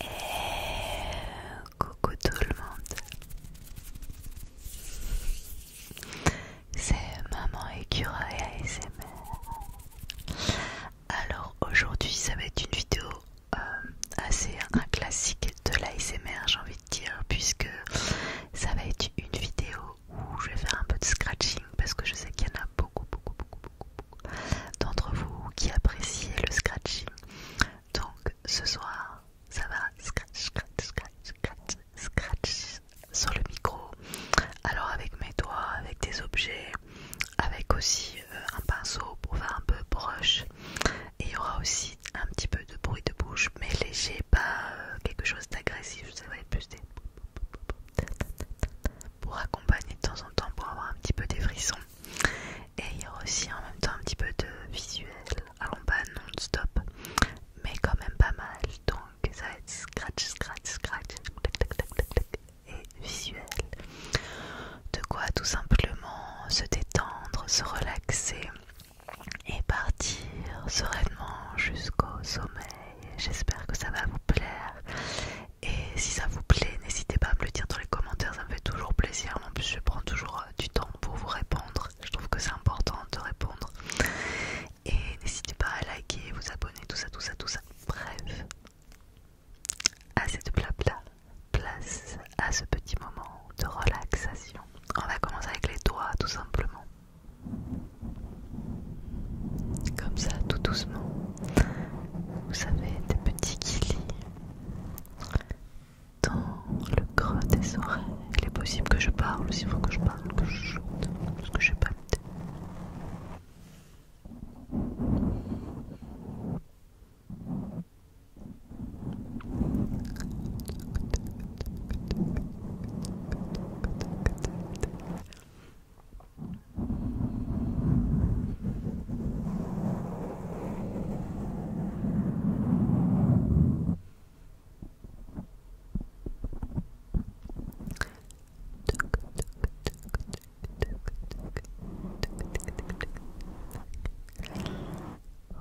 Et coucou tout le monde, c'est Maman et ASMR. Alors aujourd'hui, ça va être une vidéo euh, assez un classique de l'ASMR, j'ai envie de dire, puisque ça va être une vidéo où je vais faire un peu de scratching parce que je sais qu'il y en a beaucoup, beaucoup, beaucoup, beaucoup, d'entre vous qui appréciez le scratching. Donc ce soir, ça va scratch, scratch, scratch, scratch, scratch sur le micro. Alors avec mes doigts, avec des objets, avec aussi euh, un pinceau pour faire un peu brush. Et il y aura aussi un petit peu de bruit de bouche, mais léger, pas euh, quelque chose d'agressif. Ça va être plus des pour accompagner de temps en temps pour avoir un petit peu des frissons et il y a aussi en même temps un petit peu de visuel alors pas non-stop mais quand même pas mal donc ça va être scratch scratch scratch et visuel de quoi tout simplement se détendre se relaxer et partir sereinement jusqu'au sommeil J'espère que ça va vous plaire. Et si ça vous plaît, n'hésitez pas à me le dire dans les commentaires, ça me fait toujours plaisir. En plus, je prends toujours euh, du temps pour vous répondre. Je trouve que c'est important de répondre. Et n'hésitez pas à liker, vous abonner, tout ça, tout ça, tout ça. Bref, assez de blabla. Place à ce petit moment de relaxation. On va commencer avec les doigts, tout simplement. Comme ça, tout doucement. Vous savez, des petits quilles. dans le creux des oreilles. Il est possible que je parle, s'il faut que je parle, que je chante, parce que j'ai pas le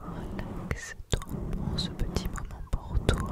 relaxe trop bon ce petit moment pour toi.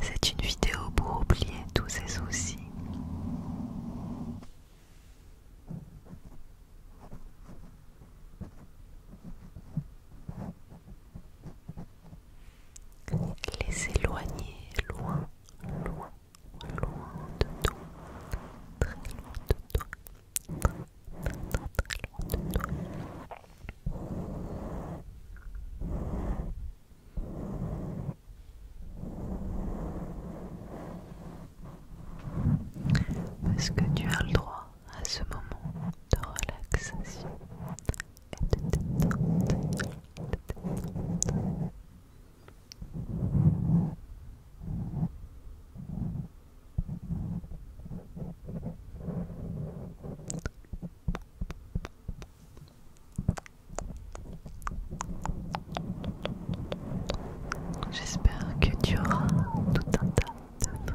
C'est une vidéo pour oublier tous ces soucis les éloigner loin, loin, loin de toi, très loin de toi, très, très, loin de toi. Parce que tu as le droit à ce moment de relaxation, J'espère que tu auras tout un tas de raisons.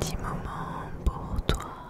petit moment pour toi.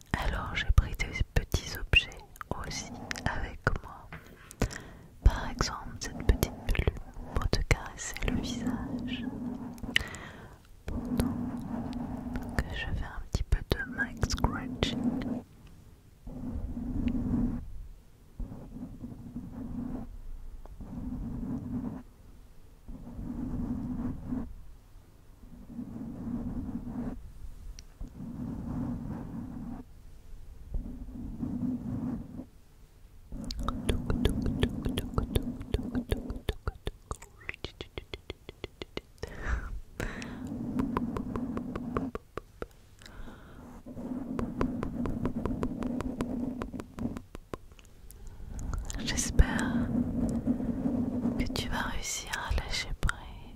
Alors j'ai pris des petits objets aussi avec moi. Par exemple, cette petite plume pour te caresser le visage. Pendant que je fais un petit peu de mic scratching. J'espère que tu vas réussir à lâcher prise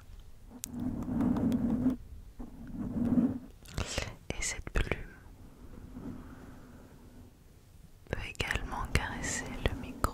Et cette plume peut également caresser le micro.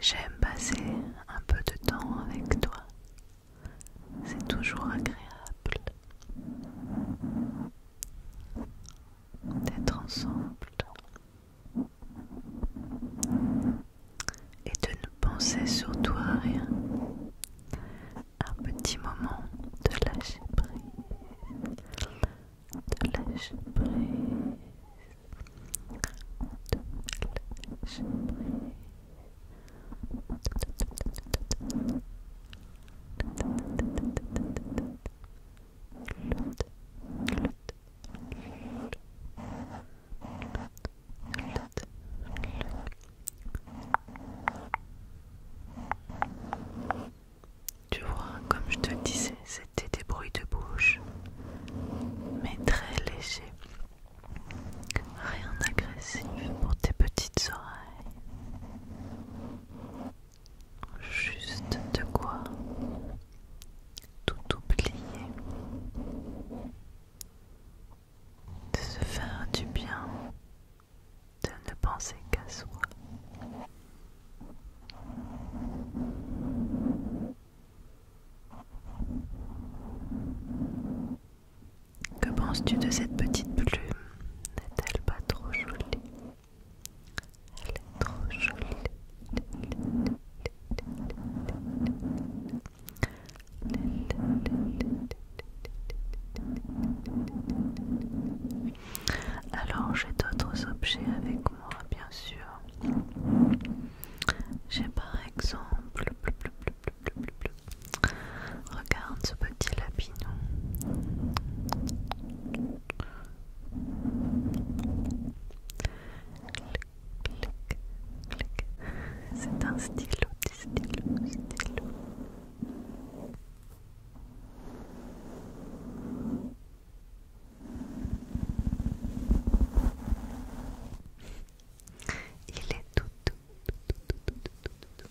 J'aime passer un peu de temps avec toi. C'est toujours agréable d'être ensemble et de ne penser surtout toi, rien. Un petit moment de lâcher prise, de prise. On te lâche prise. Tu vois, comme je te disais, des bruits de bouche, mais très léger. Rien d'agressif pour tes petites oreilles. Juste de quoi tout oublier. De se faire du bien, de ne penser qu'à soi. Que penses-tu de cette petite plume N'est-elle pas trop jolie Elle est trop jolie. Alors j'ai d'autres objets avec moi, bien sûr. J'ai par exemple. Regarde ce petit lapinon. C'est un stylo, petit stylo, stylo. Il est tout tout tout tout tout tout tout tout.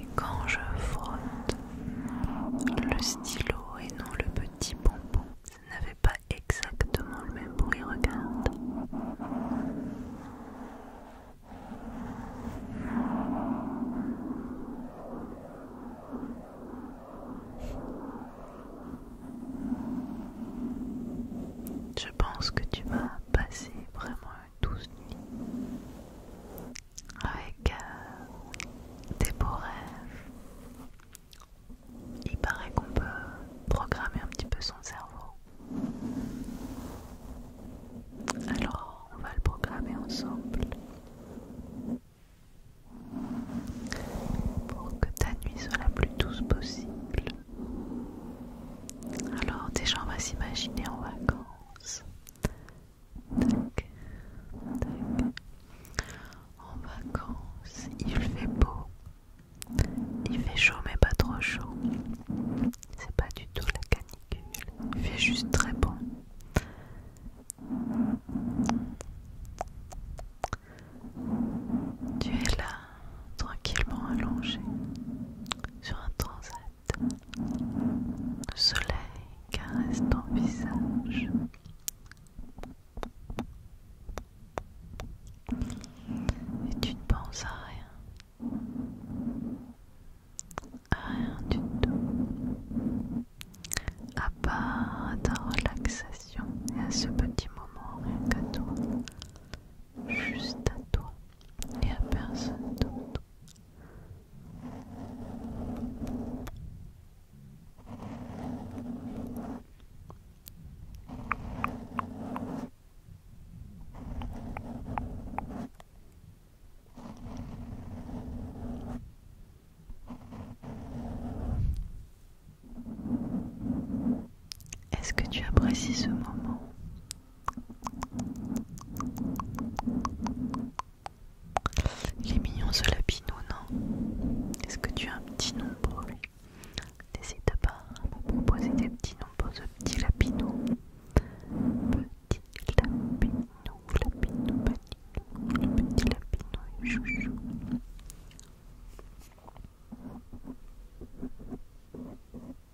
Et quand je frotte le stylo et non le petit bonbon, ça n'avait pas exactement le même bruit, regarde. Je pense que tu vas passer vraiment une douce nuit avec euh, tes beaux rêves. Il paraît qu'on peut programmer un petit peu son cerveau. Alors, on va le programmer ensemble pour que ta nuit soit la plus douce possible. Alors déjà on va s'imaginer en vacances. En vacances, il fait beau. Il fait chaud mais pas trop chaud. C'est pas du tout la canicule. Il fait juste très bon. Tu es là tranquillement allongé sur un transat. Le soleil caresse ton visage. Et tu ne penses à rien. À rien du tout. À part ta relaxation et à ce petit moment rien qu'à toi. Juste à toi et à personne d'autre. Est-ce que tu apprécies ce moment il est mignon ce lapinou, non Est-ce que tu as un petit nom pour lui N'hésite pas à me proposer des petits noms pour ce petit lapino, Petit lapino, petit. petit lapino, chouchou.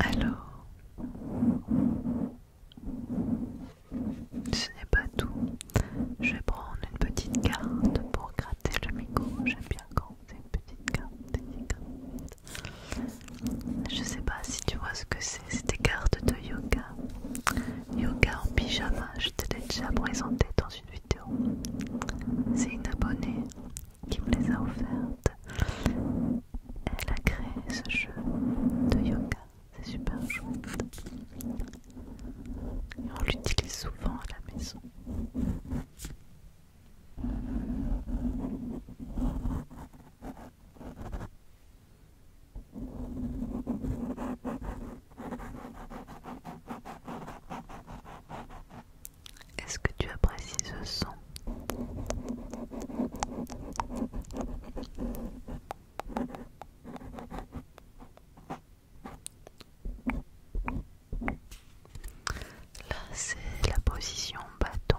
Alors, ce n'est pas tout. Je vais prendre une petite carte pour gratter le micro. J'aime bien quand c'est une petite carte. Petite je sais pas si tu vois ce que c'est, c'est des cartes de yoga. Yoga en pyjama, je te l'ai déjà présenté dans une vidéo. C'est une abonnée qui me les a offertes. Elle a créé ce jeu de yoga, c'est super chouette. on l'utilise souvent à la maison. Est-ce que tu apprécies ce son Là, c'est la position bâton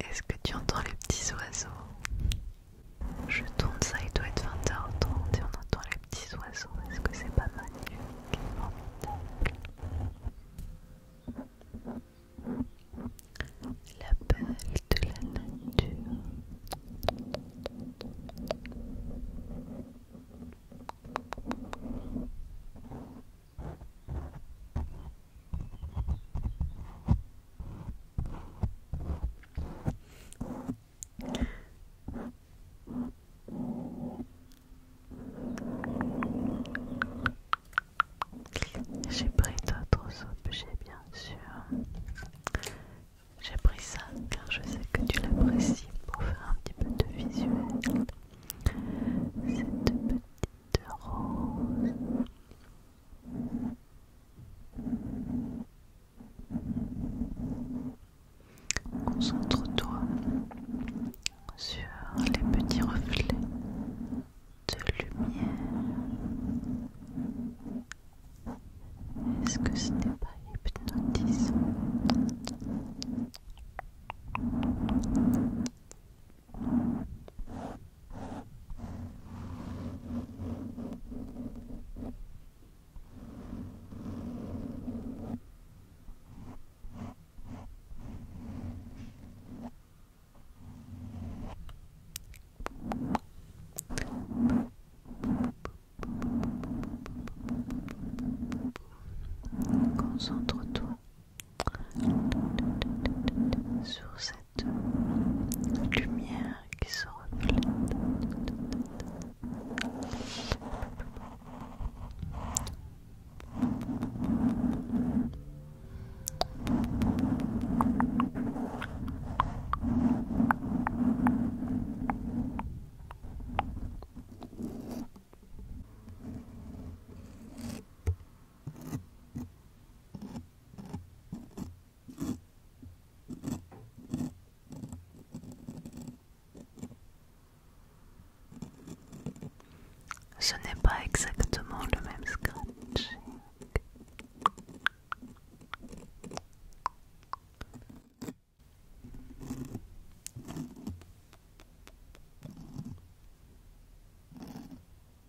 Est-ce que tu entends les petits oiseaux Je tourne ça, il doit être 20h30 et on entend les petits oiseaux. Est-ce que c'est pas magnifique La belle de la nature. J'ai pris d'autres objets, bien sûr. J'ai pris ça car je sais que tu l'apprécies pour faire un petit peu de visuel. Concentre-toi sur les petits reflets de lumière. Est-ce que ce n'est pas hypnotisant Concentre-toi sur cette lumière qui se reflète. Ce n'est pas exactement le même scratching.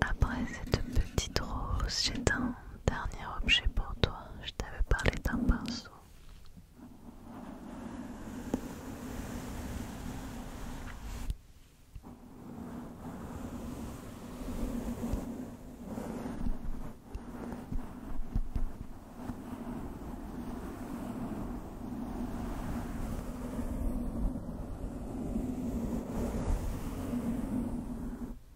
Après cette petite rose, j'éteins dernier objet pour toi, je t'avais parlé d'un pinceau.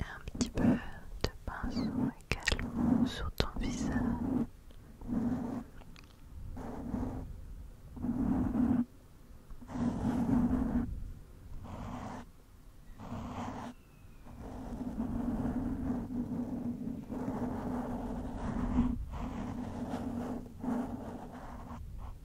un petit peu de pinceau également sur ton visage.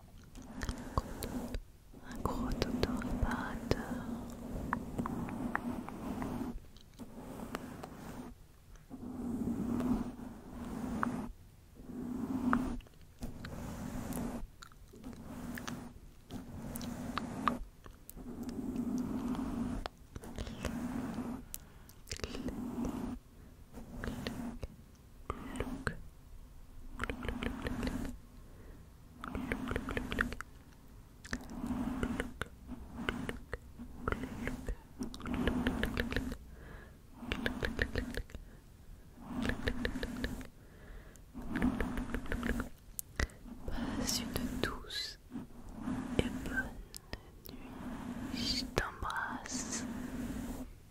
un gros odoraparateur Passe une douce et bonne nuit. Je t'embrasse.